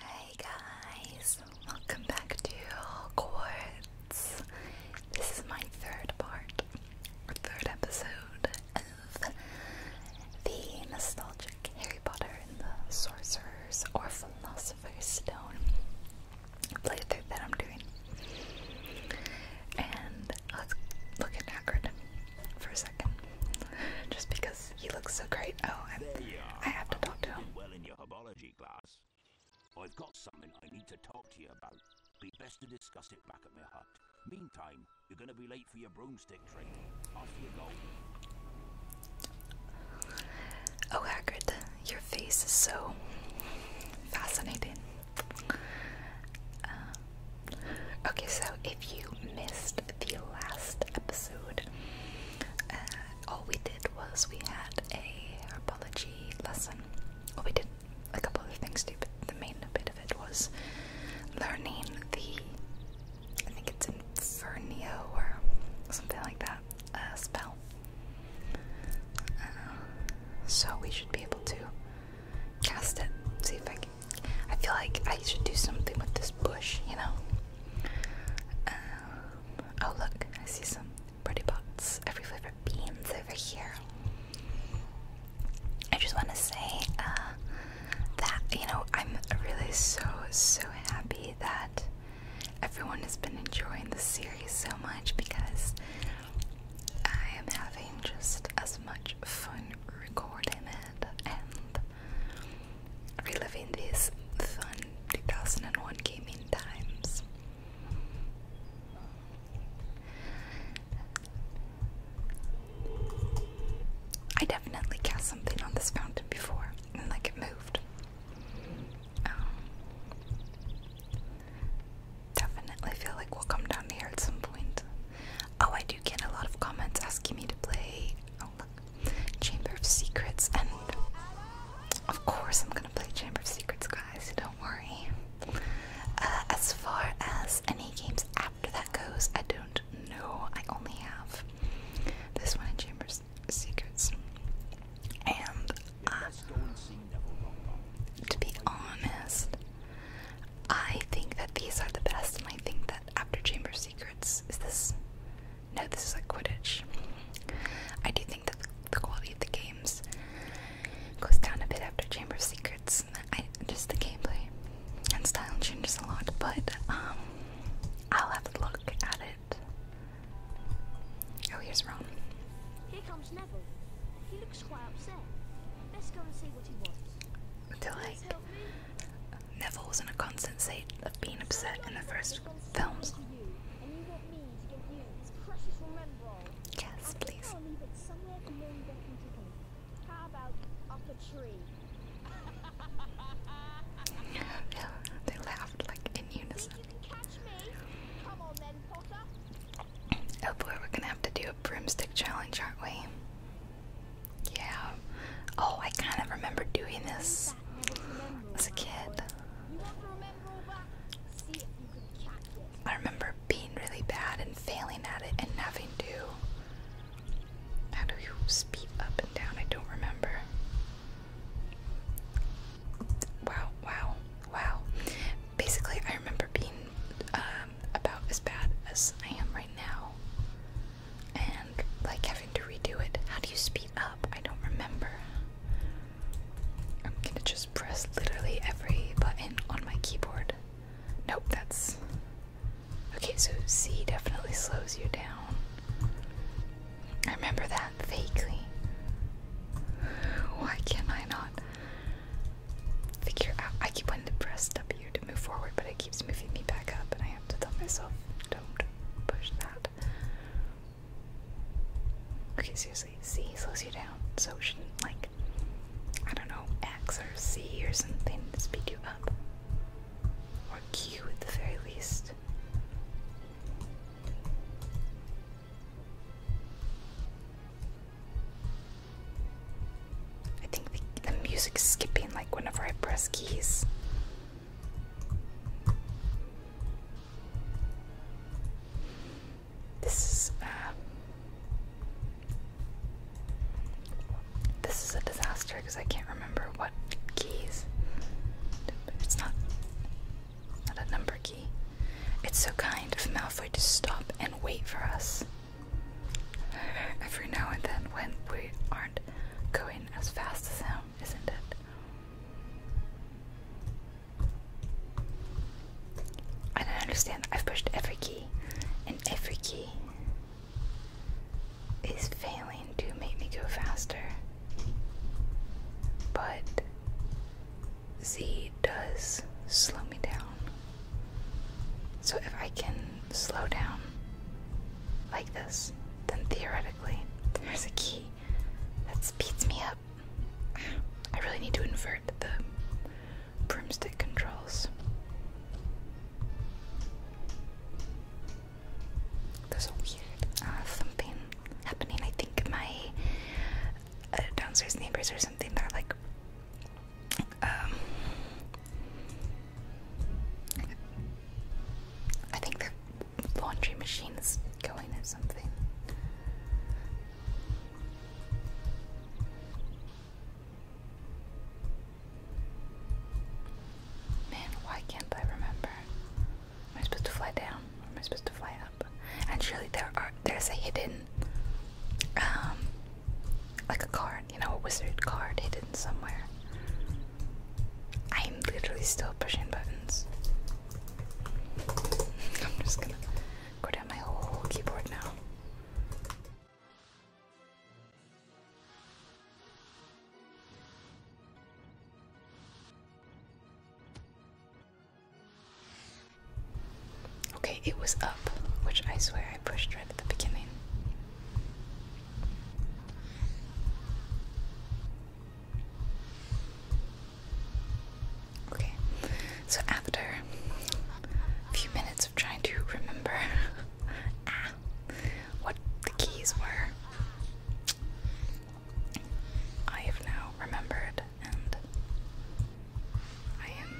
Hey guys, welcome back to Quartz. This is my third part, third episode of the nostalgic Harry Potter and the Sorcerer's or Philosopher's Stone playthrough that I'm doing. And let's look at Hagrid for a second, just because you look so great. Oh, I'm, I have to talk to him. Well in your herbology class. I've got something I need to talk to you about. Be best to discuss it back at my hut. Meantime, you're going to be late for your broomstick training. After you go. Oh, Hagrid, your face is so fascinating. Uh, okay, so if you missed the last episode, uh, all we did was we had a herbology lesson. Well, we did a couple other things too, but the main bit of it was learning the. I think it's Infernio or something like that. Uh, spell. Uh, so we should be able to cast it. See if I can. I feel like I should do something with this bush, you know? Um, oh look, I see some pretty pots every flavor beans over here. I just want to say uh, that you know I'm really so so happy that everyone has been enjoying the series so much because I am having just as much fun recording it and reliving these fun 2001 gaming times. I definitely cast something on this fountain before, and like it moved. Um, definitely feel like we'll come down here at some point. Oh, I do get a lot of comments asking me to play. Chamber of Secrets, and of course, I'm gonna play Chamber of Secrets, guys. Don't worry. Uh, as far as any games after that goes, I don't know. I only have this one in Chamber of Secrets, and uh, to be honest, I think that these are the best, and I think that after Chamber of Secrets is this. No, this is like Quidditch. I do think that the quality of the games goes down a bit after Chamber of Secrets. I just the gameplay and style changes a lot, but um, I'll have a look at it. Oh, here's Ron. Here comes Neville. He looks quite upset. Let's go and see what he wants. they Neville was in a constant state of being upset in the first films. Yes, please. yeah, they laughed like in unison. Oh we're gonna have to do a broomstick challenge, aren't we? Yeah. Oh, I kind of remember doing this as a kid. I remember being really bad and failing at it and having to. How do you speed up and down? I don't remember. Wow, wow, wow. Basically, I remember being um, about as bad as I am right now and like having to redo it. How do you speed up? I don't remember. I'm gonna just press literally every button on my keyboard. Nope, that's. Okay, so C definitely slows you down. I remember that vaguely. Why can I not figure out? I keep wanting to press W to move forward, but it keeps moving me back up, and I have to tell myself, don't push that. Okay, seriously, C slows you down, so it shouldn't, like, I don't know, X or C or something speed you up. Or Q at the very least. I think the, the music's skipping like whenever I press keys. This is uh, this is a disaster because I can't remember what keys. It's not not a number key. It's so kind of Malfoy to stop and wait for us every now and then when we aren't going as fast as him, isn't it? I don't understand. I've pushed every key, and every key is failing to make me go faster. But Z does slow me down. So if I can slow down like this, then theoretically there's a key that speeds me up. I really need to invert the broomstick controls. There's a weird uh, happening. I think my uh, downstairs neighbors or something are like, um, I think they're laundry machine is going or something. Man, why can't I remember? Am I supposed to fly down? am I supposed to fly up? And surely there are there's a hidden um like a card, you know, a wizard card hidden somewhere. I am literally still pushing buttons. I'm just gonna go down my whole keyboard now. Okay, it was up, which I swear I pushed right at the beginning. Okay, so after a few minutes of trying to remember ah, what the keys were, I have now remembered and I am.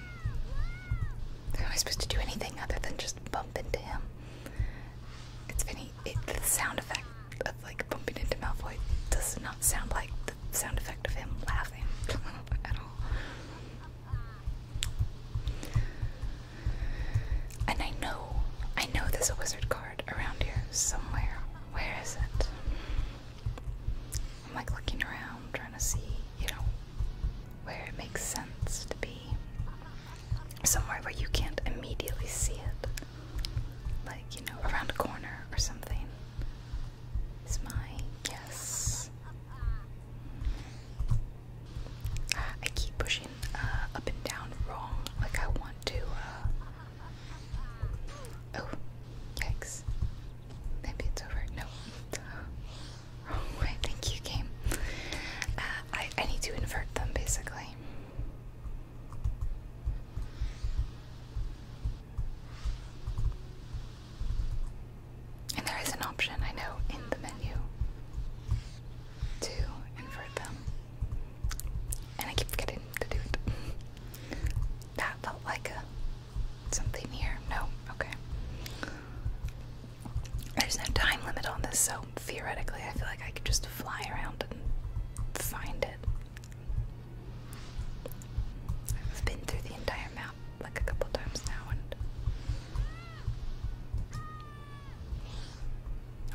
Am I supposed to do anything other than just bump into him? It's Vinny it, the sound effect of like bumping into Malfoy does not sound like the sound effect of him laughing at all. And I know, I know there's a wizard card around here somewhere. Where is it? I'm like looking around trying to see, you know, where it makes sense to be. Somewhere where you can't immediately see it like you know around a corner or something is my guess I keep pushing uh, up and down wrong like I want to uh, oh yikes maybe it's over no wrong thank you game uh, I, I need to invert them basically and there is an option, I know, in the menu to invert them. And I keep forgetting to do it. that felt like a, something here. No? Okay. There's no time limit on this, so theoretically, I feel like I could just fly around and find it. I've been through the entire map like a couple times now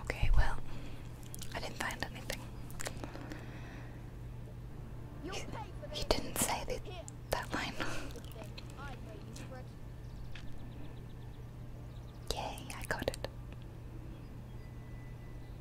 Okay, well, I didn't find anything. He, didn't say that line. Yay, I got it.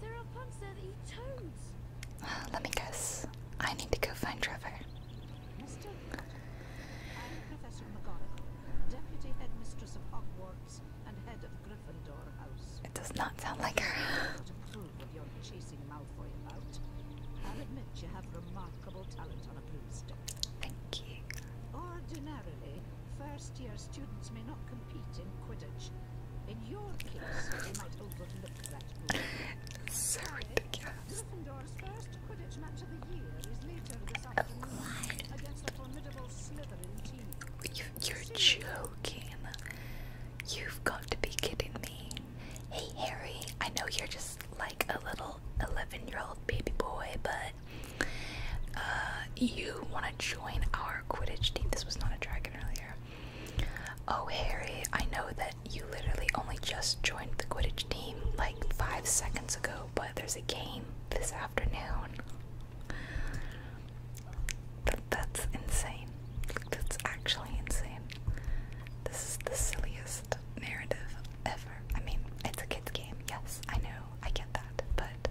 There are pups that eat toads. let me guess. I need to go find Trevor. mister Professor McGonagall, Deputy Headmistress of Hogwarts and Head of Gryffindor House. It does not sound like her. I'll admit you have remarkable talent on a broomstick. Thank you. Ordinarily, first-year students may not compete in Quidditch in your case, they might overlook that oh, You, you're joking. You've got to be kidding me. Hey Harry, I know you're just like a little 11 year old baby boy, but uh, you want to join our Quidditch team. This was not a dragon earlier. Oh, Harry, I know that you literally only just joined the Quidditch team like five seconds ago, but there's a game this afternoon. that's insane. That's actually insane. This is the silliest narrative ever. I mean, it's a kid's game, yes, I know, I get that, but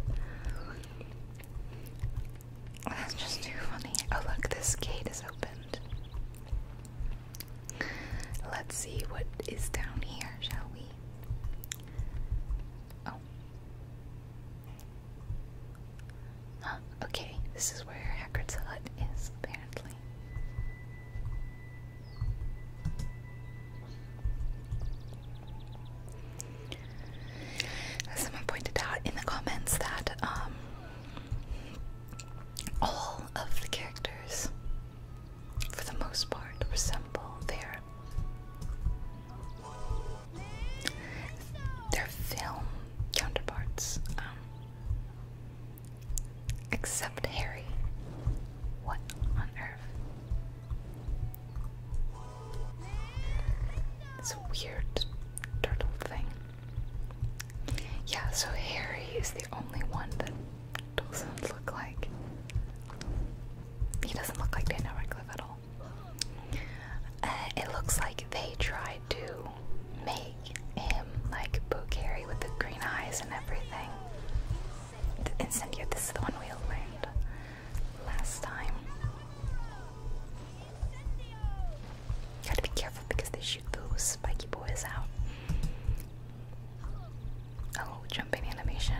that's just too funny. Oh, look, this gate is opened. Let's see what is down here, shall we? Oh. okay, this is where Hagrid's hut is, apparently. Someone pointed out in the comments that um all of the characters, for the most part, resemble their their film counterparts, um, except Harry. What on earth? It's weird turtle thing. Yeah, so Harry is the only one that doesn't look like. He doesn't look like Daniel Radcliffe at all. Uh, it looks like they tried to make him like book Harry with the green eyes and everything. Incendio, this is the one we learned last time. Gotta be careful because they shoot those spiky boys out. Oh, jumping animation.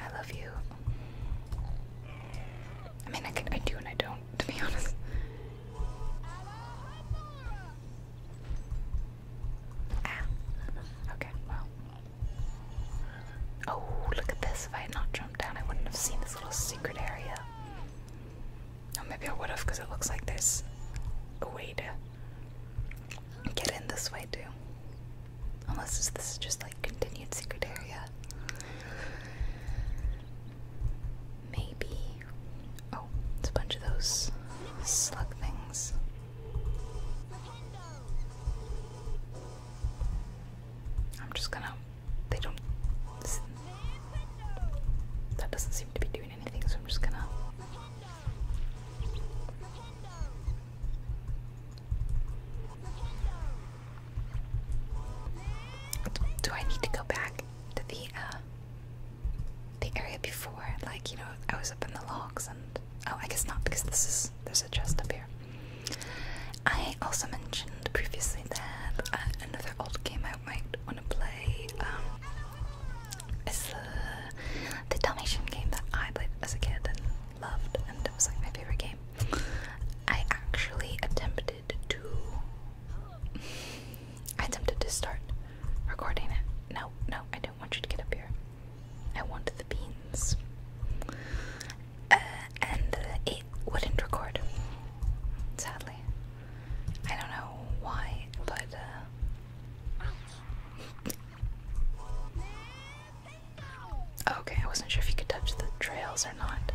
I love you. I mean, I, can, I do and I don't, to be honest. Ah. Okay, well. Oh, look at this. If I had not jumped down, I wouldn't have seen this little secret area. Oh, maybe I would have because it looks like there's a way to get in this way too. Unless this, is just like continued secret area. Maybe. Oh, it's a bunch of those slug things. I'm just gonna they don't. That doesn't seem to be doing anything, so I'm just gonna. Do I need to go back to the uh, the area before? Like you know, I was up in the logs, and oh, I guess not because this is there's a chest up here. I also mentioned previously that uh, another old game I might want to play. Um, the Dalmatian game that I played as a kid and loved, and was like my favorite game. I actually attempted to. I attempted to start recording it. No, no, I don't want you to get up here. I want the beans. Uh, and it wouldn't record, sadly. I don't know why, but uh, Okay, I wasn't sure if you could touch the trails or not.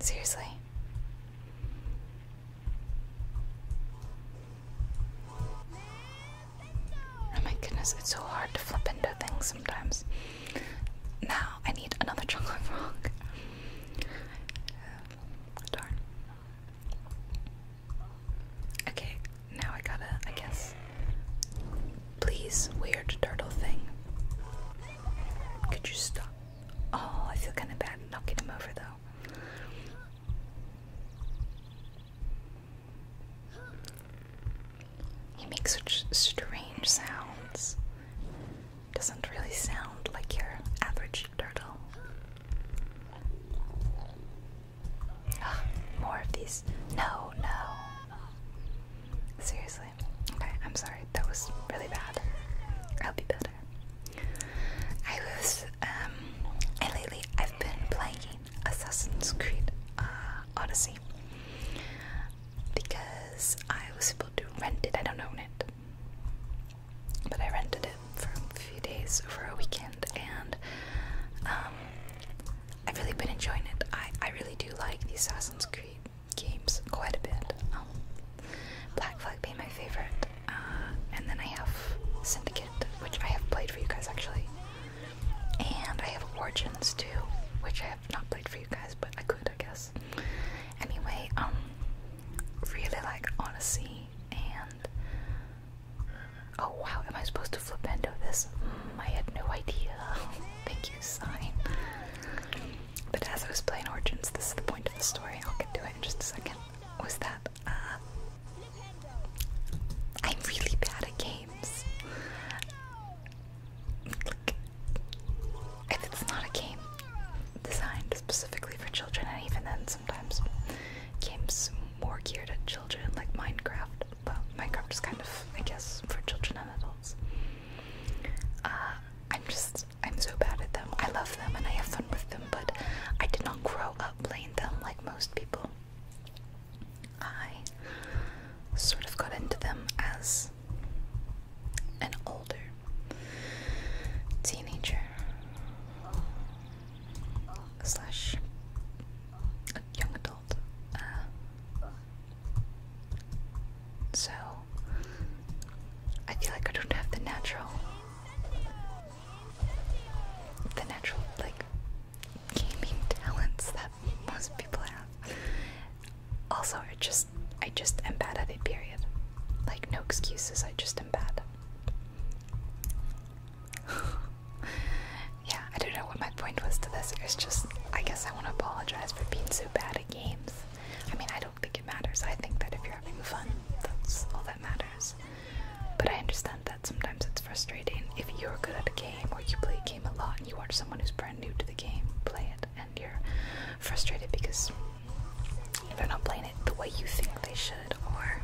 Seriously. Oh my goodness, it's so hard to flip into things sometimes. Now I need another chocolate frog. Darn. Okay, now I gotta, I guess. Please, weird turtle thing. Could you stop? Oh, I feel kind of bad knocking him over though. You makes such strange sounds. Doesn't really sound like your average turtle. Ah, more of these. No, no. Seriously. Okay, I'm sorry. That was really bad. I'll be better. I was, um, and lately I've been playing Assassin's Creed uh, Odyssey because I was able to rent it. I don't own it, but I rented it for a few days over a weekend, and um, I've really been enjoying it. I, I really do like the Assassin's Creed games quite a bit. Um, Black Flag being my favorite, uh, and then I have Syndicate, which I have played for you guys actually. And I have Origins too, which I have not played for you guys, but I could, I guess. Anyway, um, really like Honesty and. Oh wow, am I supposed to flip into this? Mm, I had no idea. Thank you, sign. But as I was playing Origins, this is the point of the story. I'll get to it in just a second. Was that, uh. I'm really bad at games if it's not a game designed specifically for children, and even then, sometimes games more geared at children, like Minecraft. But Minecraft is kind of, I guess, for children and adults. Uh, I'm just, I'm so bad at them. I love them and I have fun with them, but I did not grow up playing them like most people. I sort of got into them as an older teenager slash a young adult. Uh, so I feel like I don't have the natural, the natural like gaming talents that most people have. Also, I just I just am bad at it. Period. Like no excuses. I just am bad. yeah, I don't know what my point was to this. It's just I guess I want to apologize for being so bad at games. I mean, I don't think it matters. I think that if you're having fun, that's all that matters. But I understand that sometimes it's frustrating if you're good at a game or you play a game a lot and you watch someone who's brand new to the game play it and you're frustrated because they're not playing it the way you think they should or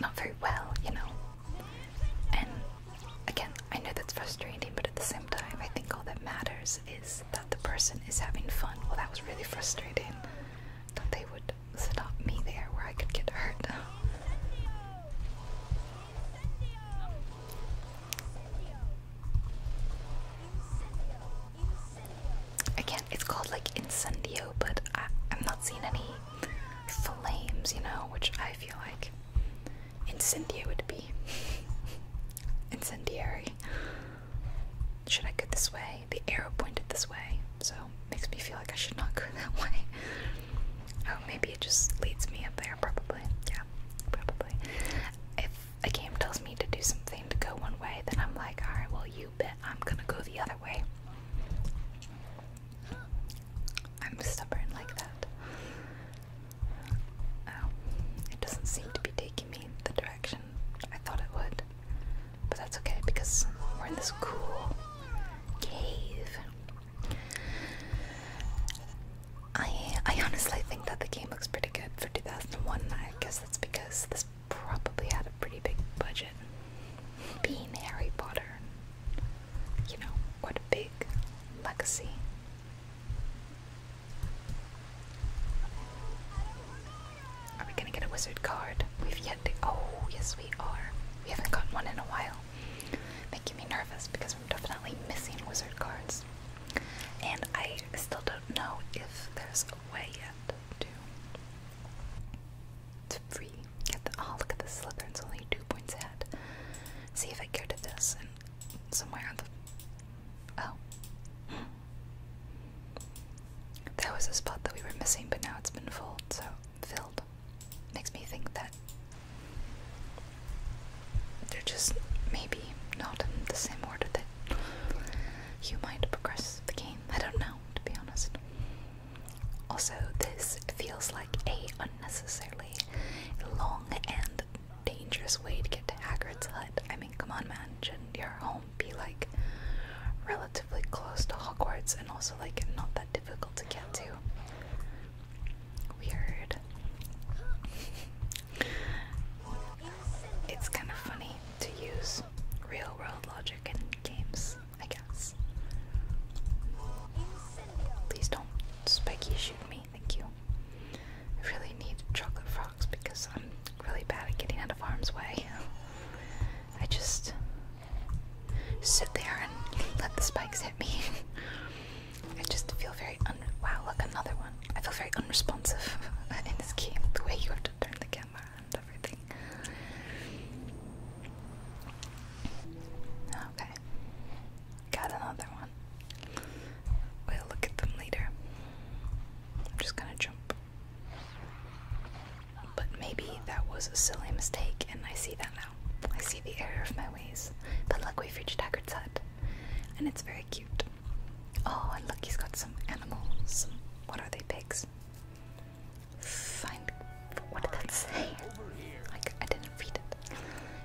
not very well, you know. And again, I know that's frustrating, but at the same time, I think all that matters is that the person is having fun. Well, that was really frustrating that they would stop me there where I could get hurt. Again, it's called like incendio, but I, I'm not seeing any flames, you know, which I feel like incendio would be. Incendiary. Should I go this way? The arrow pointed this way, so makes me feel like I should not go that way. Oh, maybe it just leads me up there, probably. Yeah, probably. If a game tells me to do something to go one way, then I'm like, alright, well, you bet I'm gonna go the other way. I'm stubborn like that. Oh, it doesn't seem to be taking me the direction I thought it would. But that's okay because we're in this cool cave. I I honestly think that the game looks pretty good for 2001. I guess that's because this probably had a pretty big budget. Being Harry Potter, you know, what a big legacy. Are we gonna get a wizard card? We've yet to. Oh, yes, we are. We haven't gotten one in a while. Making me nervous because we're definitely missing wizard cards. And I still don't know if there's a way yet to to free oh look at this slipper, it's only two points ahead. See if I go to this and somewhere on the oh. There was a spot that we were missing, but now it's been full, so filled. Makes me think that they're just maybe not in the same order that you might progress the game. I don't know, to be honest. Also, this feels like a unnecessarily long and dangerous way to get to Hagrid's hut. I mean, come on, man, should your home be like relatively close to Hogwarts and also like not that difficult to get to? Weird. it's kind of funny to use real world logic in games, I guess. Please don't spiky shoot me, thank you. I really need chocolate frogs because I'm really bad at getting out of harm's way. I just sit there and let the spikes hit me. I just feel very un. Wow, look, another one. I feel very unresponsive in this game. The way you have to turn the camera and everything. Okay. Got another one. We'll look at them later. I'm just gonna jump. But maybe that was a silly mistake, and I see that now. I see the error of my ways. But luckily, we've reached Haggard's and it's very cute. Oh, and look, he's got some animals. What are they, pigs? Find. What did that say? Like, I didn't read it.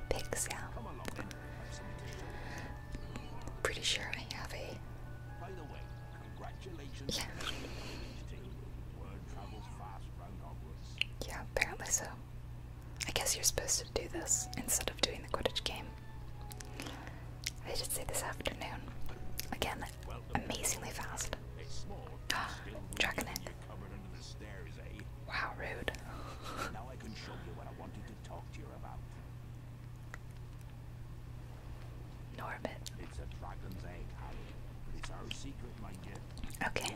Pigs, yeah. Pretty sure I Yeah. Yeah, apparently so. I guess you're supposed to do this instead of doing the Quidditch game. I should say this afternoon. Again, amazingly fast. Draconic. Wow, rude. now I can show you what I wanted to talk to you about. It's a dragon's egg, Harry. It's our secret, mind you. Okay.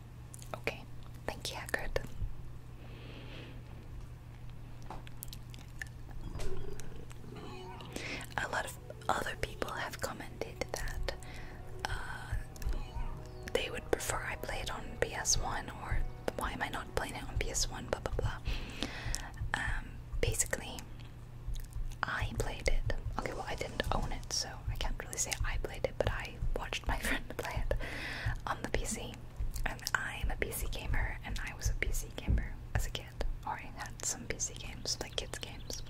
Okay, thank you, Hagrid. A lot of other people have commented that uh, they would prefer I play it on PS1 or why am I not playing it on PS1, blah blah blah. Um, basically, I played it. Okay, well, I didn't own it, so I can't really say I played it, but I. I watched my friend play it on the PC. And I'm a PC gamer, and I was a PC gamer as a kid. Or I had some PC games, like kids' games.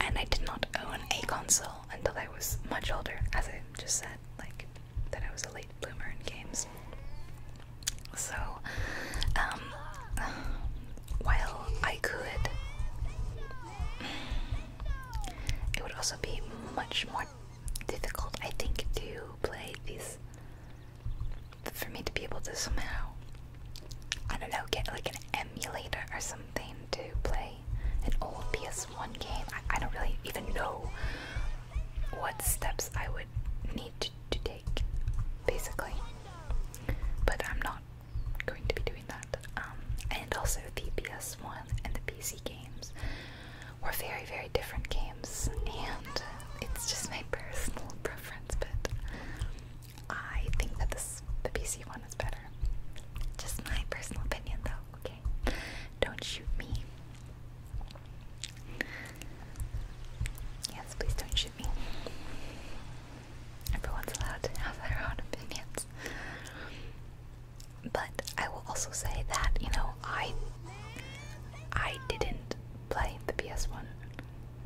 And I did not own a console until I was much older, as I just said, like that I was a late bloomer in games. So, um, while I could, it would also be much more difficult, I think, to play these. For me to be able to somehow, I don't know, get like an emulator or something to play an old PS1 game. I, don't really even know what steps I would need to, to take, basically. But I'm not going to be doing that. Um, and also the PS1 and the PC games were very, very different games, and it's just my personal preference, but I think that this the PC one is better. Just my personal opinion, though, okay? Don't shoot me. Yes, please don't shoot me. Everyone's allowed to have their own opinions. But I will also say that, you know, I I didn't play the PS1.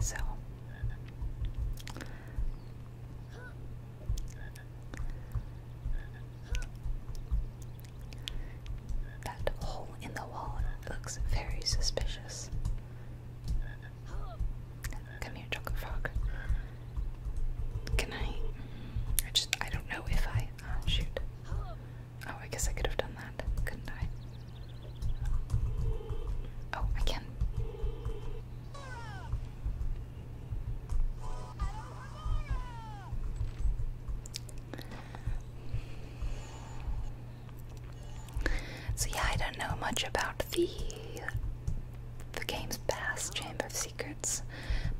So that hole in the wall looks very suspicious. Come here, chocolate frog. Can I? I just I don't know if I Ah, shoot. Oh, I guess I could have done that, couldn't I? Oh, I can. So yeah, I don't know much about the the game's past Chamber secrets,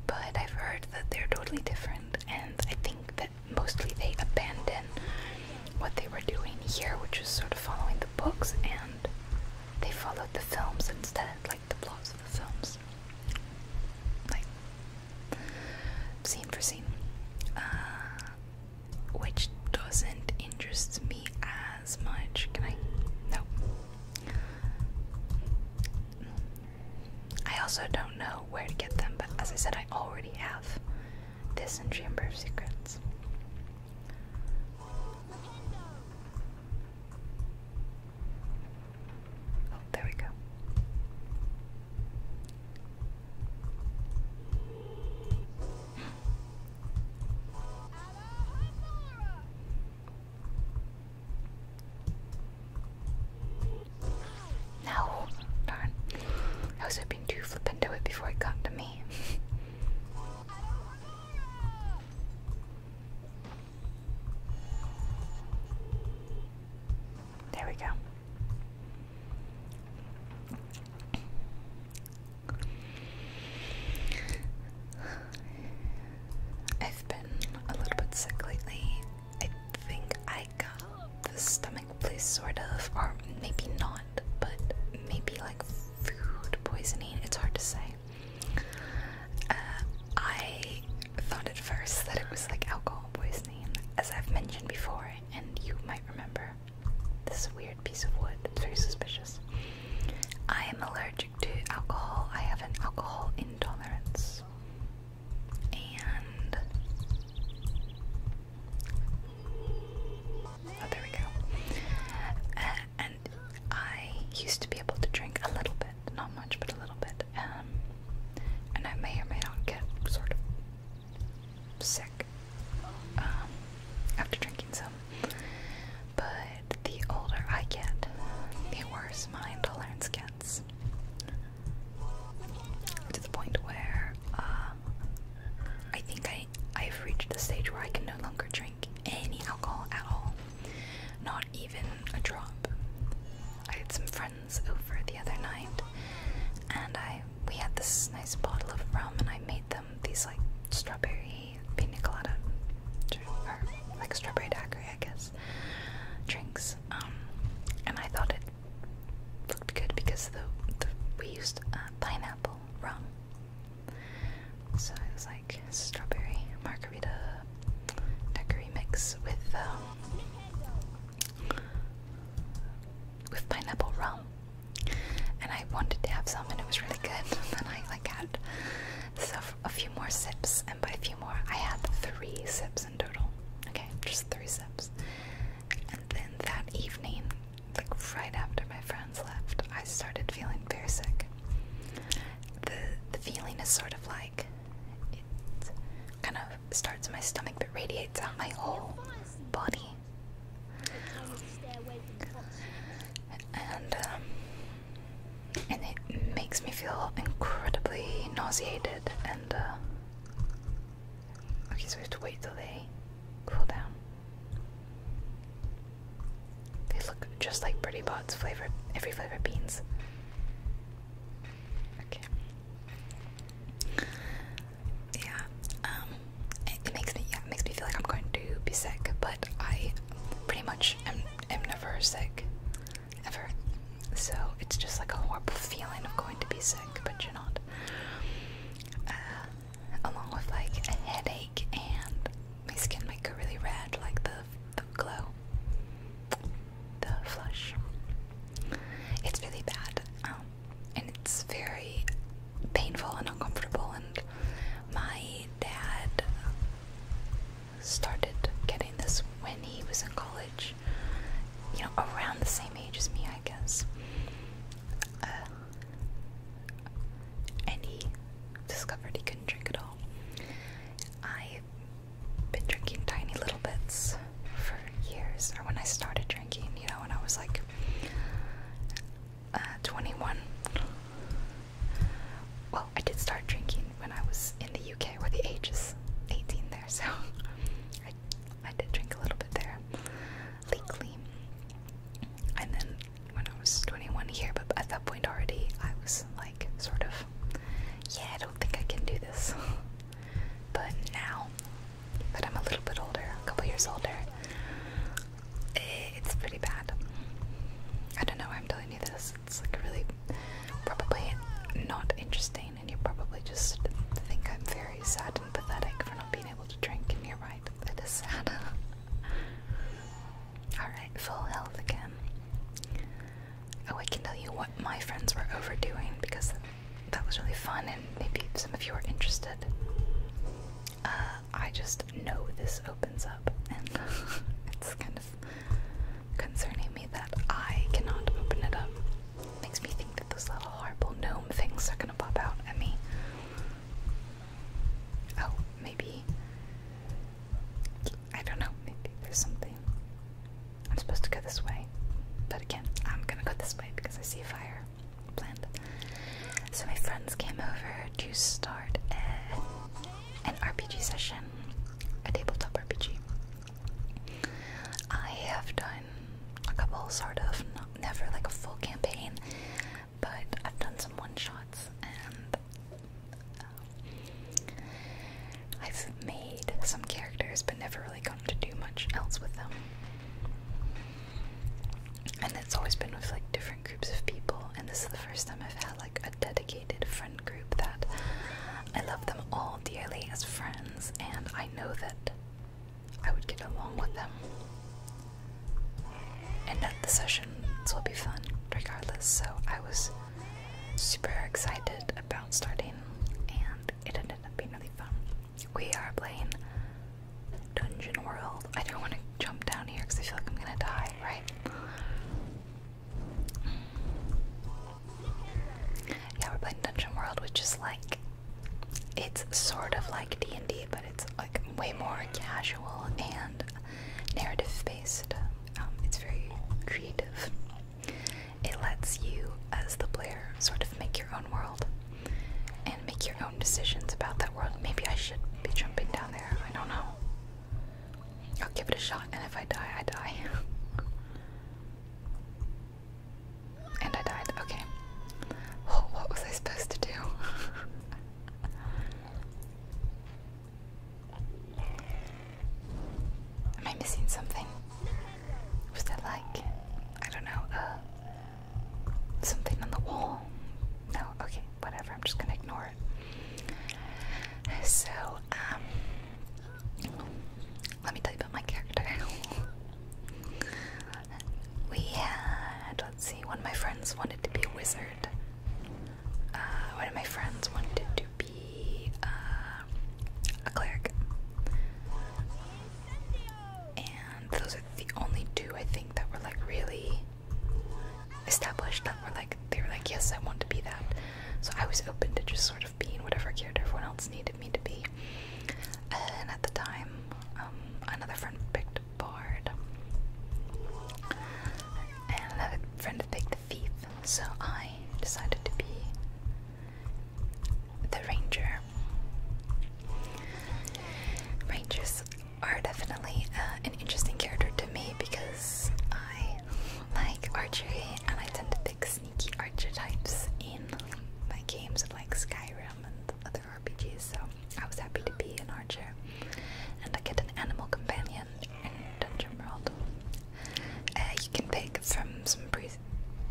but I've heard that they're totally different, and I think that mostly they abandon what they were doing here, which is sort of following the books, and they followed the films instead, like the plots of the films. Like, scene for scene. Uh, which doesn't interest me as much. Can I? No. I also don't know where to get them, but as I said, I already have this in Chamber of Secrets. Oh, there we go. No, darn. I was hoping to flip into it before it got to me. there we go. I've been a little bit sick lately, I think I got the stomach place sort of, or maybe not, but maybe like food poisoning. It's hard to say. Uh, I thought at first that it was like alcohol poisoning, as I've mentioned before, and you might remember. This weird piece of wood. It's very suspicious. I am allergic to alcohol. I have an alcohol intolerance and oh, there we go. Uh, and I used to be able to drink a little bit, not much, but a little bit. Um, and I may or may not get sort of sick um, after drinking some. But the older I get, the worse my intolerance gets to the point where um, I think I I've reached the stage where I can no longer drink any alcohol at all, not even a drop. I had some friends over the other night, and I we had this nice bottle of rum, and I made them these like strawberry pina colada, or like strawberry daiquiri, I guess drinks, um, and I thought it looked good because the, we used uh, pineapple rum, so it was like strawberry margarita daiquiri mix with um, with pineapple rum. And I wanted to have some, and it was really good. And then I like had a few more sips, by a few more, I had three sips in total. Okay, just three sips. And then that evening, like right after my friends left, I started feeling very sick. The the feeling is sort of like it kind of starts in my stomach but radiates out my whole body. And um, and it makes me feel incredibly nauseated uh, okay, so we have to wait till they cool down. They look just like Pretty Pot's flavored every flavored beans. Okay. Yeah. Um. It, makes me yeah, makes me feel like I'm going to be sick, but I pretty much am never sick ever. So it's just like a horrible feeling of going to be sick, but you're not. Uh, along with like a headache and my skin might go really red, like the the glow, the flush. It's really bad, um, and it's very painful and uncomfortable. And my dad started getting this when he was in college, you know, around the same age as me, I guess. Uh, and he discovered he couldn't drink at all. I've been drinking tiny little bits for years, or when I started drinking, you know, when I was like uh, 21. Well, I did start drinking when I was in the UK, where the age is 18 so I, did drink a little bit there legally. And then when I was 21 here, but at that point already, I was like, sort of, yeah, I don't think I can do this. But now that I'm a little bit older, a couple years older, it's pretty bad. I don't know why I'm telling you this. It's like really probably not interesting and you probably just think I'm very sad and pathetic for not being able to drink, and you're right, it is sad. Alright, full health again. Oh, I can tell you what my friends were overdoing because that was really fun, and maybe some of you are interested. Uh, I just know this opens up, and it's kind of concerning me that I cannot open it up. Makes me think that those little horrible gnome things are gonna pop out at me. Oh, maybe. I don't know, maybe there's something. I'm supposed to go this way, but again, I'm gonna go this way because I see fire planned. So, my friends came over to start an RPG session, a tabletop RPG. I have done a couple, sort of, never like a full campaign, but I've done some one shots and um, I've made some characters but never really gotten to do much else with them. And it's always been with like different groups of people, and this is the first time I've had like a dedicated friend group that I love them all dearly as friends, and I know that I would get along with them. And that the session will be fun regardless, so I was super excited about starting, and it ended up being really fun. We are playing Dungeon World. I don't want to jump down here because I feel like I'm gonna die, right? Yeah, we're playing Dungeon World, which is like it's sort of like D and D, but it's like way more casual and narrative based. Um, it's very creative. It lets you, as the player, sort of make your own world and make your own decisions about that world. Maybe I should be jumping down there. I don't know. I'll give it a shot, and if I die, I die. And I died. Okay. what was I supposed to do? Am I missing something? Was that like, I don't know, uh, something on the wall? No, okay, whatever, I'm just gonna ignore it. So, um, let me tell you about my character. we had, let's see, one of my friends wanted to be a wizard. Uh, one of my friends wanted to be uh, a cleric. And those are the only two I think that were like really established that were like, they were like, yes, I want to be that. So I was open to just sort of being whatever character everyone else needed me to be. And at the time, um, another friend picked Bard, and another friend picked the Thief. So I decided to be the Ranger. Rangers are definitely uh, an interesting character to me because I like archery and I tend to pick sneaky archetypes in my games of like Skyrim and other RPGs, so I was happy to be an archer. And I get an animal companion in Dungeon World. Uh, you can pick from some pre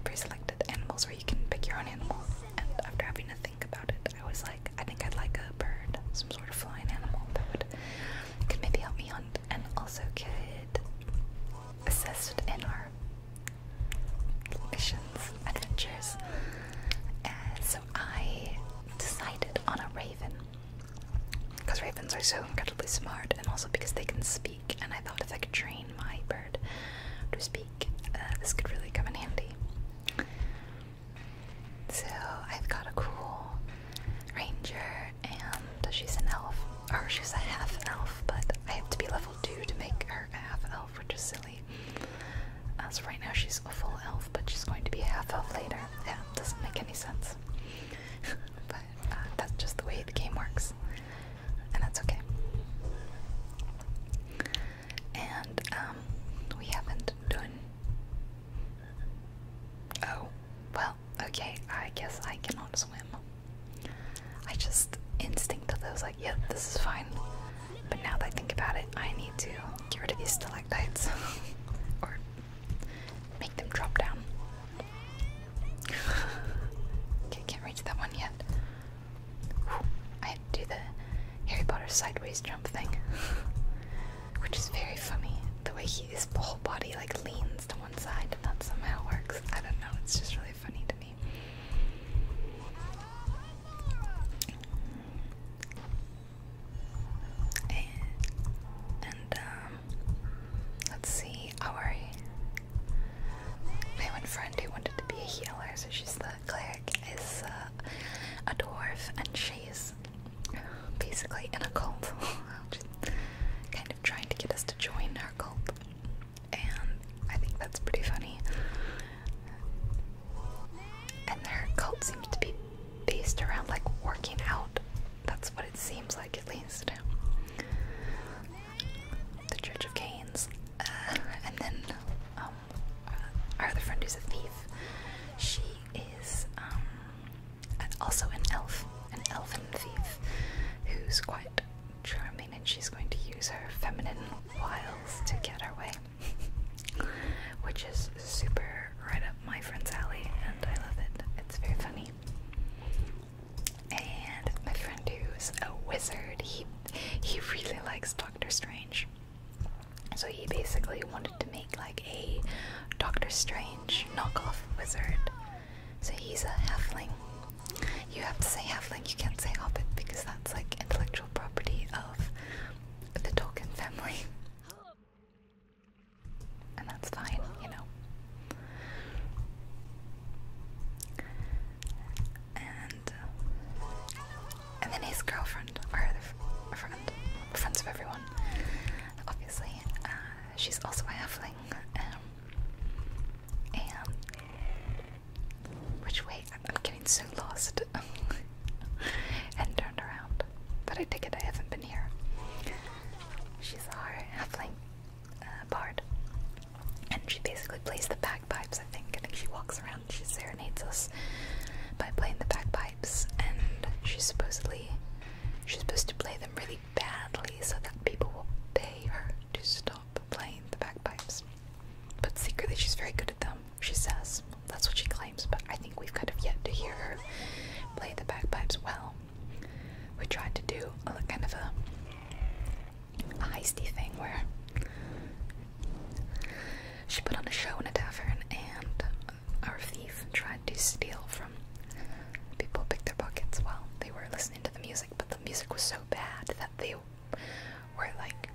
pre-selected animals where you can pick your own animal. And after having to think about it, I was like, I think I'd like a bird, some sort of flying animal that would could maybe help me hunt and also could assist in our missions, adventures. so I decided on a raven. Because ravens are so incredibly smart, and also because they can speak. And I thought if I could train my bird to speak, uh, this could really come in handy. So I've got a cool ranger, and she's an elf. Oh, she's a half elf, but I have to be level 2 to make her a half elf, which is silly. As right now she's a full elf, but she's going to be a half elf later. Yeah, doesn't make any sense. but uh, that's just the way the game works, and that's okay. And um, we haven't done. Oh, well, okay, I guess I cannot swim. I just instinctively was like, yep, this is fine. But now that I think about it, I need to get rid of these stalactites or make them drop down. okay, can't reach that one yet. I do the Harry Potter sideways jump thing, which is very funny. The way he, his whole body like leans to one side, and that somehow works. I don't know, it's just really funny to me. And, um, let's see, our my friend who wanted to be a healer, so she's the cleric, is uh, a dwarf, and she's basically in a cult. kind of trying to get us to join her cult and I think that's pretty funny. And their cult seems to be based around like working out. That's what it seems like, at least. The Church of Canes, uh, and then um, our other friend who's a thief. She is um, also an elf, an elfin thief, who's quite charming and she's going to use her feminine wiles to get her way. Which is super right up my friend's alley and I love it. It's very funny. And my friend who's a wizard, he he really likes Doctor Strange. So he basically wanted to make like a Doctor Strange knockoff wizard so he's a halfling. You have to say halfling, you can't say hobbit because that's like intellectual property of the Tolkien family. And that's fine, you know. And uh, and then his girlfriend, or her friend, friends of everyone, obviously. Uh, she's also a halfling, um, and which way? I'm, getting so lost. and turned around. But I take it I haven't been here. She's our halfling uh, bard. And she basically plays the bagpipes, I think. And she walks around, she serenades us by playing the bagpipes. And she's supposedly. She's supposed to play them really badly so that people will pay her to stop playing the bagpipes. But secretly, she's very good at them, she says. That's what she claims, but I think we've kind of yet to hear her play the bagpipes well. We tried to do a kind of a, a heisty thing where she put on a show in a tavern and our thief tried to steal from people, Pick their pockets Well, they were listening to the music, but the music was so bad that the you were like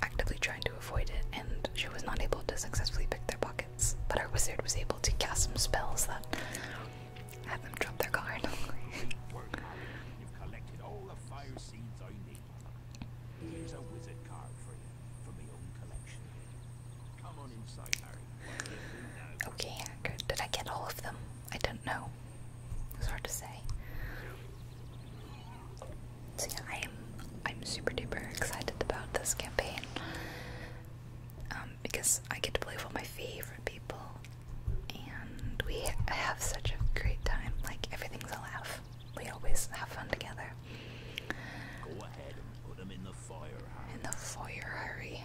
actively trying to avoid it, and she was not able to successfully pick their pockets. But our wizard was able to cast some spells that had them drop their card. Work You've collected all the fire seeds I need. Here's a wizard card for you from my own collection. Come on inside, Harry. Okay, good. Did I get all of them? I don't know. It's hard to say. So yeah, I'm I'm super duper excited about this campaign um, because I get to play with all my favorite people, and we have such a great time. Like everything's a laugh. We always have fun together. in the fire. hurry.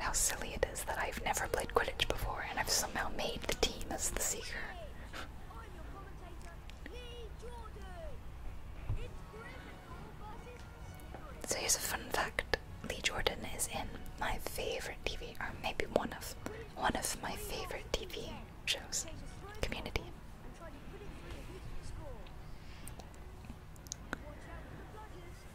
how silly it is that I've never played Quidditch before and I've somehow made the team as the Seeker. So here's a fun fact: Lee Jordan is in my favorite TV, or maybe one of one of my favorite TV shows, Community.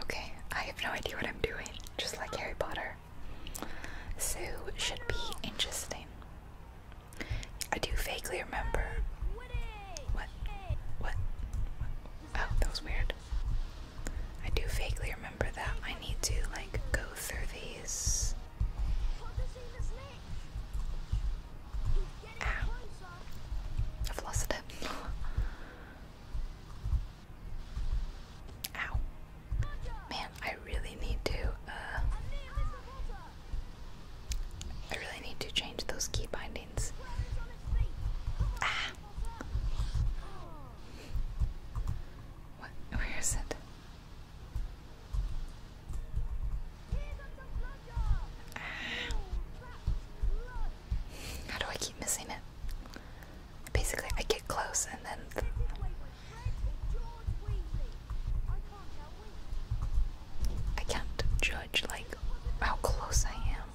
Okay, I have no idea what I'm doing, just like Harry Potter. So, should be interesting. I do vaguely remember. What? What? Oh, that was weird. I do vaguely remember that I need to, like, go through these. Ow. I've lost it. Ow. Man, I really need to, uh, I really need to change those key bindings. Ah! What? Where is it? How do I keep missing it? Basically, I get close and then. I can't judge like how close I am.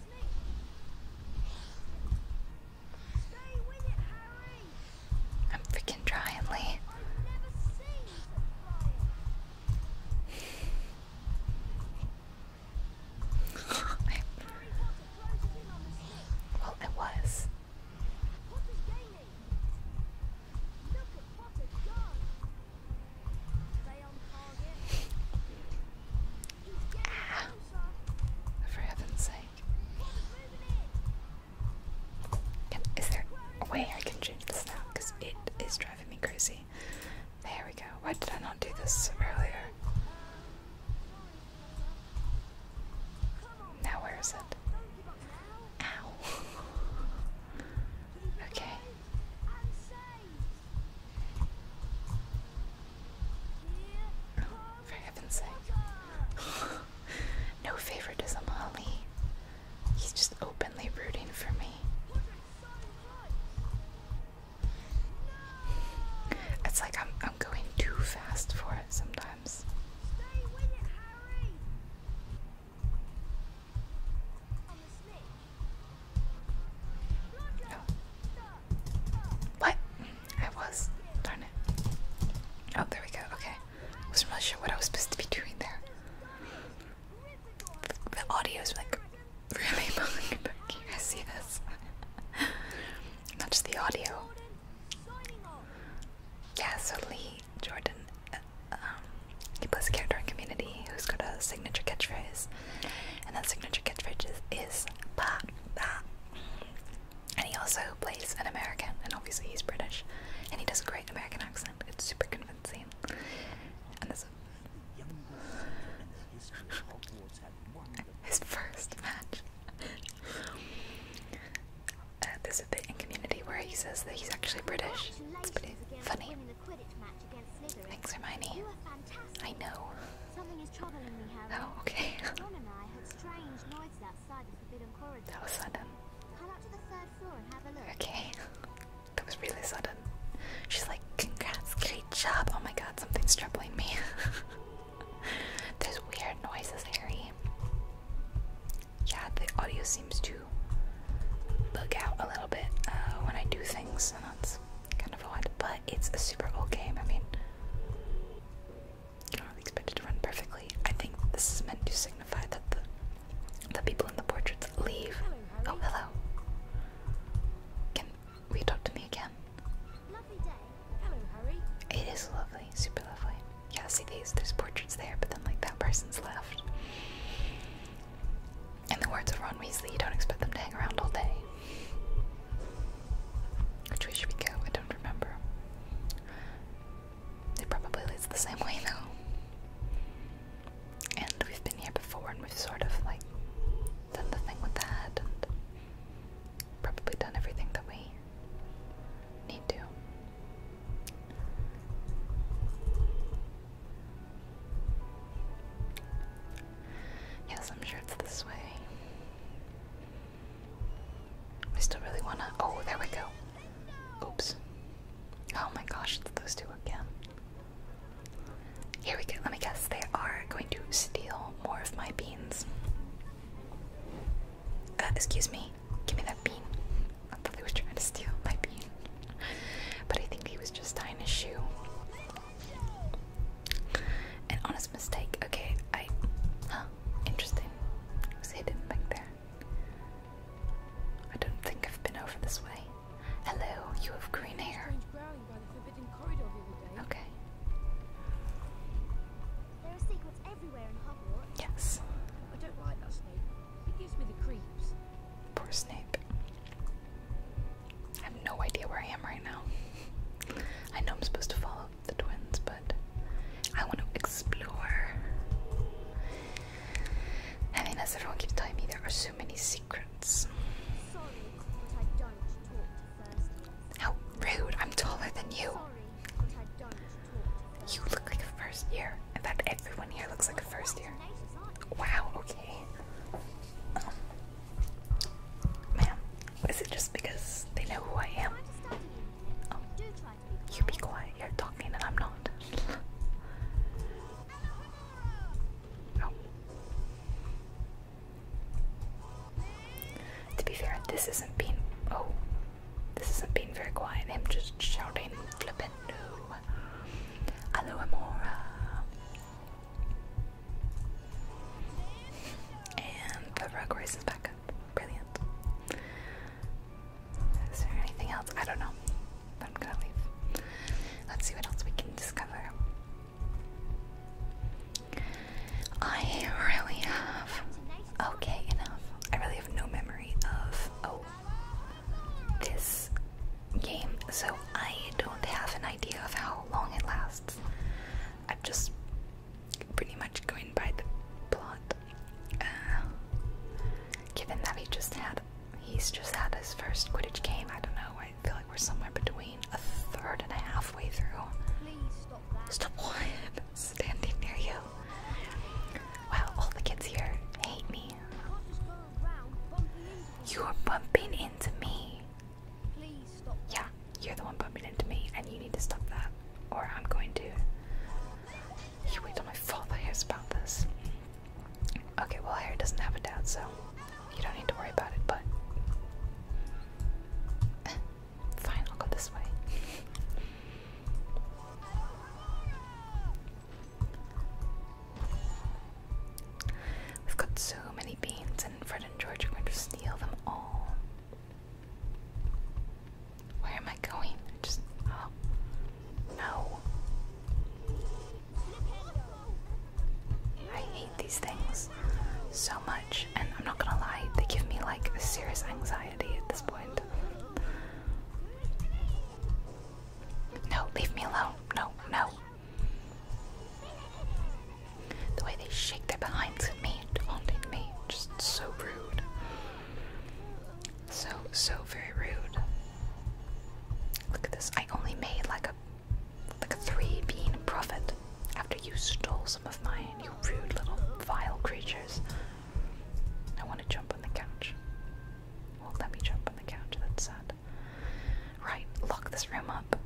I'm freaking trying, Lee. I, well, I was. Ah, for heaven's sake. Can, is there a way I can change this now? Because it is driving driving me crazy. There we go. Why did I not do this earlier? Now where is it? Ow. okay. Oh, for heaven's sake. no favoritism, Holly. He's just openly rooting for me. It's like I'm I'm going too fast for it sometimes. What? I was. Darn it. Oh, there we go. Okay. I wasn't sure what I was supposed to be doing there the audio is like really bugging Can You guys see this? Not just the audio. Yeah, so Lee Jordan, uh, um, he plays a character in Community who's got a signature catchphrase, and that signature catchphrase is, "pa pa." And he also plays an American, and obviously he's British, and he does a great American accent. It's super convincing have his first match. there's a bit in Community where he says that he's actually British. It's pretty funny. Thanks, Hermione. I know. Oh, okay. that was sudden. Okay. That was really sudden. She's like, congrats, great job. Oh my god, something's troubling me. There's weird noises, Harry. Yeah, the audio seems to bug out a little bit uh, when I do things, and that's kind of odd, but it's a super old game. I mean, you don't really expect it to run perfectly. I think this is meant to signify that the the people in the portraits leave. Oh, hello. Can will talk to me again? It is lovely, super lovely. Yeah, see these? There's portraits there, but then like that person's left. And the words of Ron Weasley, you don't expect them to hang around all day. Which way should we go? I don't remember. It probably leads the same way now. And we've been here before and we've sort of like done the thing with that, and probably done everything that we need to. Yes, I'm sure it's this way. We still really wanna. Oh, there we go. Oops. Oh my gosh, those two again. Here we go. Let me guess. They are going to steal more of my beans. Uh, excuse me. Give me that bean. I thought he was trying to steal my bean. But I think he was just tying his shoe. An honest mistake. Okay, I. Huh. Interesting. It was hidden back there. I don't think I've been over this way. Hello, you have green hair. Okay. Yes. Poor Snape. I have no idea where I am right now. I know I'm supposed to follow the twins, but I want to explore. I mean, that's the wrong telling me there are so many secrets. How rude! I'm taller than you. you look like a first year. In fact, everyone here looks like a first year. Wow. Okay. Um, is it just because they know who I am? Oh. You be quiet. You're talking, and I'm not. Oh. To be fair, this isn't being. Oh. This isn't being very quiet. I'm just shouting, flippin' no. Aloha And the rug rises back up. Brilliant. Is there anything else? I don't know. Let's see what else we can discover. I really have. Okay, enough. I really have no memory of. Oh, this game, so I don't have an idea of how long it lasts. I'm just pretty much going by the plot. Uh, given that I just had he's just had his first Quidditch game. I don't know. I feel like we're somewhere between a third and a halfway through. Please stop that. Stop what? Standing near you. Wow, all the kids here hate me. You're bumping into me. Please stop yeah, you're the one bumping into me, and you need to stop that, or I'm going to. You wait till my father hears about this. Okay, well, Harry doesn't have a dad, so you don't need to worry about it, but. Fine, I'll go this way. We've got so many beans, and Fred and George are going to steal them all. Where am I going? just. Oh. No. I hate these things so much, and I'm not gonna lie, they give me like serious anxiety at this point. No, leave me alone. No, no. The way they shake their behinds at me and me, just so rude. So, so very rude. Look at this. I only made like a like a three bean profit after you stole some of mine, you rude little vile creatures. I want to jump on the couch. Well, let me jump on the couch, that's sad. Right, lock this room up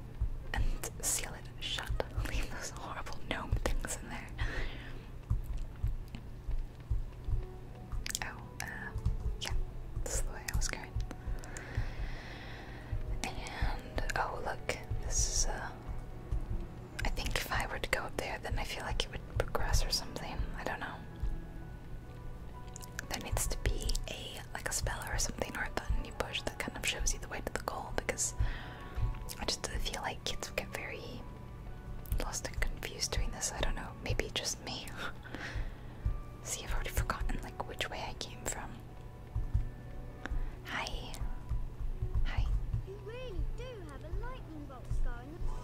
and seal it shut. Leave those horrible gnome things in there. Oh, uh, yeah, that's the way I was going. And oh, look, this is a. Uh, think if I were to go up there, then I feel like it would progress or something. I don't know. There needs to be a like a speller or something or a button you push that kind of shows you the way to the goal because I just feel like kids get very lost and confused doing this. I don't know. Maybe just me. See, I've already forgotten like which way I came from. Hi. Hi.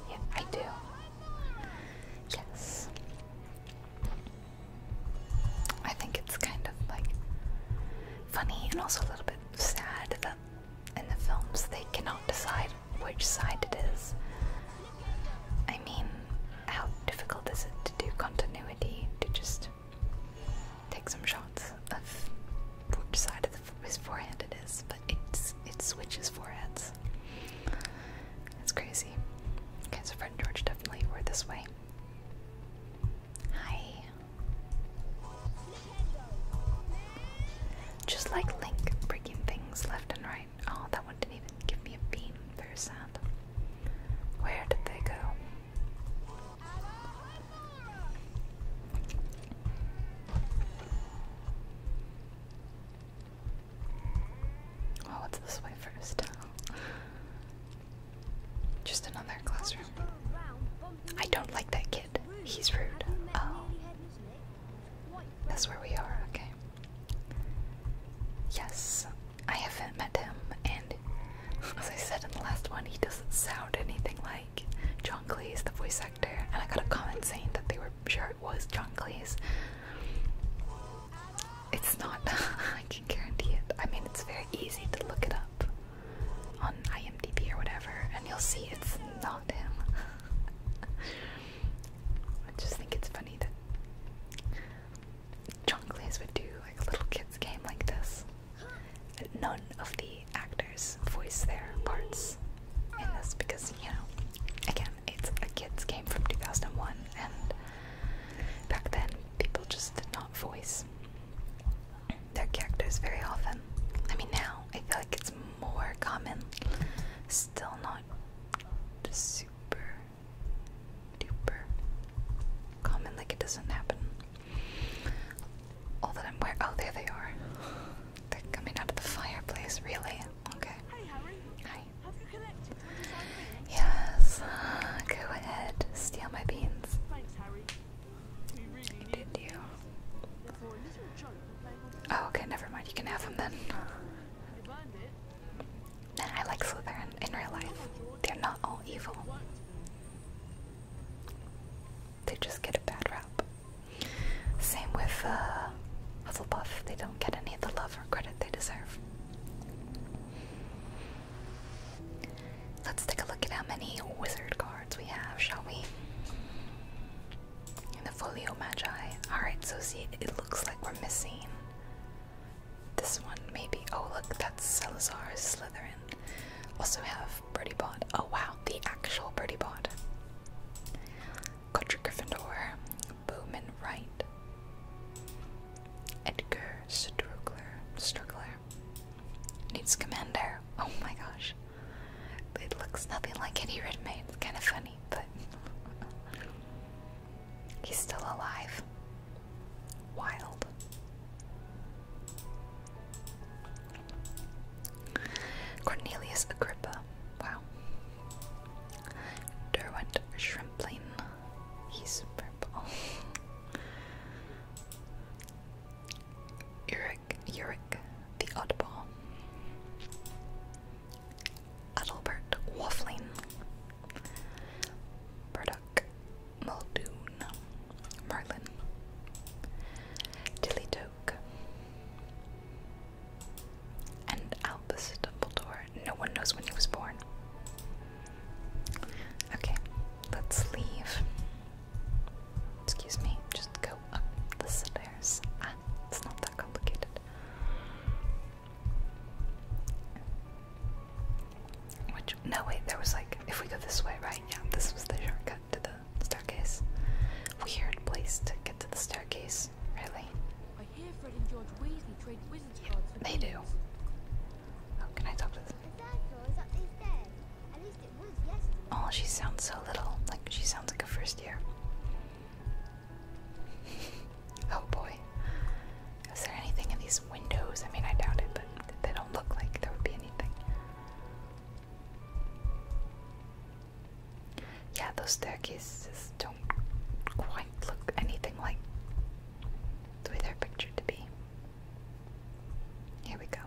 Yeah, I do. Yes. I think it's kind of like funny and also a little bit sad that in the films they cannot decide which side it is. I mean, how difficult is it to do continuity to just take some shots of which side of his forehead it is, but it's it switches foreheads. It's crazy. Okay, so George definitely were this way. Hi. Just like Link breaking things left and right. Oh, that one didn't even give me a bean. Very sad. Where did they go? Oh, what's this way first? Just another classroom. I don't like that kid. He's rude. Oh. That's where we are, okay. Yes, I haven't met him, and as I said in the last one, he doesn't sound anything like John Cleese, the voice actor. And I got a comment saying that they were sure it was John Cleese. It's not. I can guarantee it. I mean, it's very easy to look it up on IMDb or whatever, and you'll see it's not him. I just think it's funny that Chongles would do like a little kids game like this. None of the actors voice their parts in this because you know, again, it's a kids game from 2001, and back then people just did not voice their characters very often. I mean, now I feel like it's more common. Still not super duper common, like it doesn't happen all that I'm aware. Oh, there they are. They're coming out of the fireplace, really? Okay. Hi, how Hi. Have you collected Yes. Go ahead. Steal my beans. Thanks, Harry. We Did you? Oh, okay, never mind. You can have them then. I like Slytherin in real life. They're not all evil. They just get a bad rap. Same with uh, Hufflepuff. They don't get any of the love or credit they deserve. Let's take a look at how many wizard cards we have, shall we? In the Folio Magi. Alright, so see, it looks like we're missing this one, maybe. Oh, look, that's Salazar's Slytherin. Also have Birdie Bot. Oh, wow, the actual Birdie Bot. Godric Gryffindor, Bowman Wright, Edgar Strugler, Strugler. Needs Commander. Oh my gosh. It looks nothing like any Redmayne. It's kind of funny, but He's still alive. Wild. Cornelius Agrippa. Wow. Derwent Shrimpling. He's purple. Uric, Uric, the oddball. Adelbert Waffling, Burdock Muldoon, Merlin, Tillytoke, and Albus Dumbledore. No one knows when he was born. Okay, let's leave. Excuse me, just go up the stairs. Ah, it's not that complicated. Which, no, wait, there was like, if we go this way, right? Yeah, this was the shortcut to the staircase. Weird place to get to the staircase, really. I hear Fred and George Weasley trade wizards cards They do. Oh, can I talk to them? Oh, she sounds so little. Like, she sounds like a first year. Oh boy. Is there anything in these windows? I mean, I doubt it, but they don't look like there would be anything. Yeah, those staircases don't quite look anything like the way they're pictured to be. Here we go.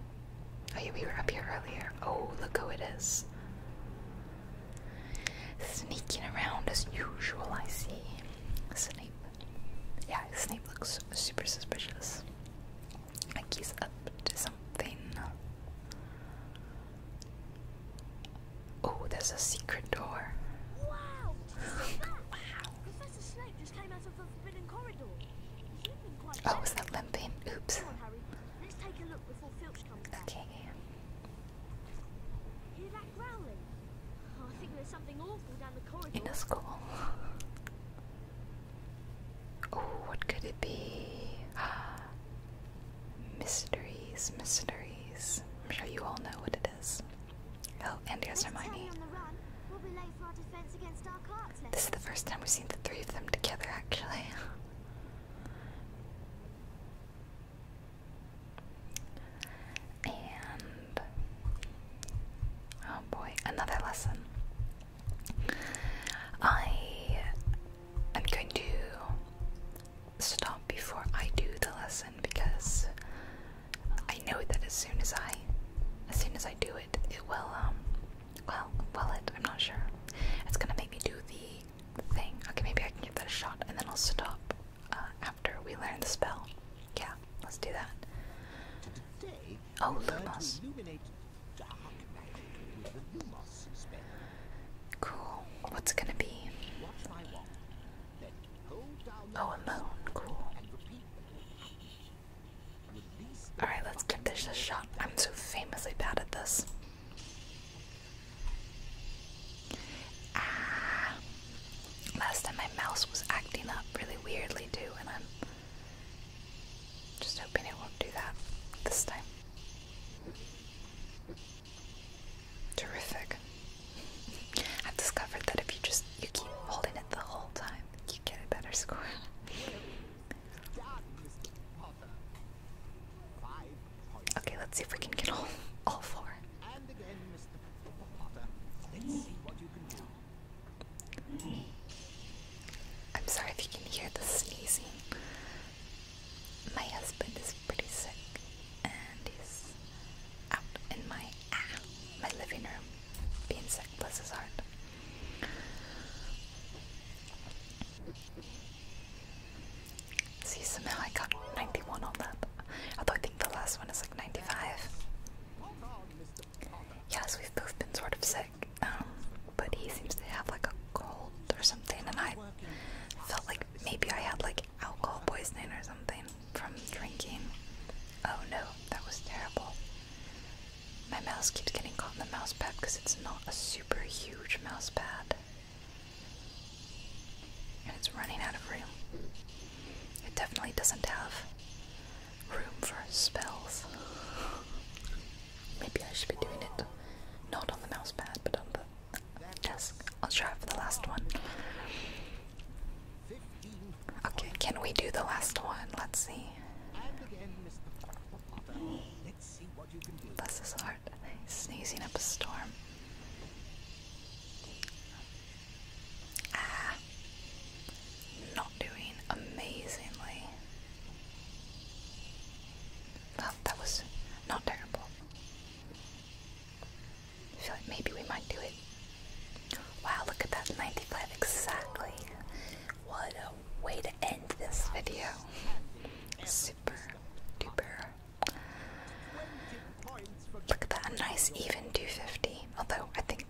Oh, yeah, we were up here earlier. Oh, look who it is. Sneaking around as usual, I see. Snape. Yeah, Snape looks super suspicious. Like he's up to something. Oh, there's a secret door. Wow! wow! Professor Snape just came out of the forbidden corridor. Oh, was that limping? Oops. Okay. Oh, I think there's something awful down the corridor. In the school. oh, what could it be? mysteries, mysteries. I'm sure you all know what it is. Oh, and here's Hermione. we this is the first time we've seen the three of them together, actually. And oh boy, another lesson. I am going to stop before I do the lesson because I know that as soon as I as soon as I do it it will um well will it I'm not sure. It's gonna make me do the thing. Okay maybe I can give that a shot and then I'll stop uh, after we learn the spell. Yeah, let's do that. Oh, Lumos. Cool. What's gonna be? Oh, alone. Cool. Alright, let's give this a shot. I'm so famously bad at this. Ah. Last time my mouse was acting up really weirdly too, and I'm just hoping it won't do that this time. Terrific. I've discovered that if you just you keep holding it the whole time, you get a better score. Okay, let's see if we can get all all four. I'm sorry if you can hear the sneezing. My husband is pretty sick and he's out in my ah, my living room being sick, bless his heart. See, somehow I got 91 on that. Although I think the last one is like 95. Yes, we've both been sort of sick, um, but he seems to have like a cold or something, and I felt like maybe I had like alcohol poisoning or something from drinking. Oh no, that was terrible. My mouse keeps getting caught in the mouse pad because it's not a super huge mouse pad. And it's running out of room. It definitely doesn't have room for spells. Maybe I should be doing it not on the mousepad but on the desk. I'll try for the last one. Okay, can we do the last one? Let's see. Bless his heart. Sneezing up a storm. Ah, not doing amazingly. Well, that was not terrible. I feel like maybe we might do it. Wow, look at that 95 exactly. What a way to end this video. Super duper. Look at that, a nice even 250. Although I think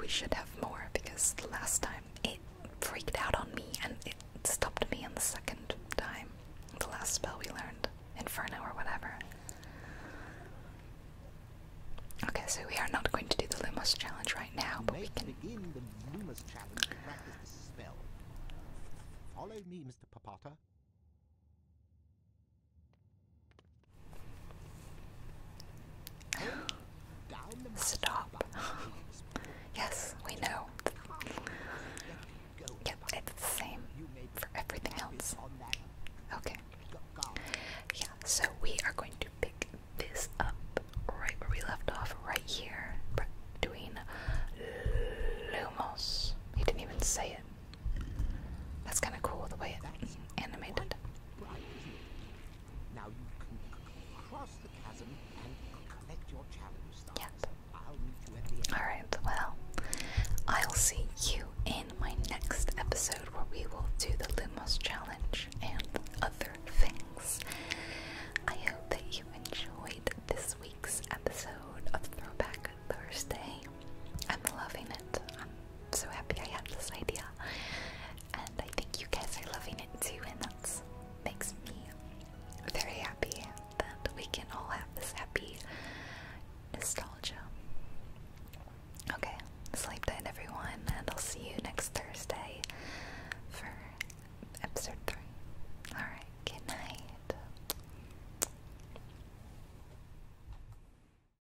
we should have more because the last time it freaked out on me and it stopped me in the second time. The last spell we learned, Inferno or whatever. Okay, so we are not going to do the Lumos challenge right now, but we can in the Lumos challenge to practice the spell. Follow me, Mr. Papata. Stop. yes, we know. Yep, it's the same for everything else. Okay. Yeah, so we are going to pick this up right where we left off, right here, between Lumos. He didn't even say it. That's kind of cool the way it's animated. Yep. Alright, well, I'll see you in my next episode where we will do the Lumos challenge and other things. I hope that you enjoyed this week's episode of Throwback Thursday. I'm loving it. I'm so happy I had this idea. And I think you guys are loving it too, and that makes me very happy that we can all have this happy nostalgia. Okay, sleep tight, everyone, and I'll see you next Thursday for episode 3. Alright, good night.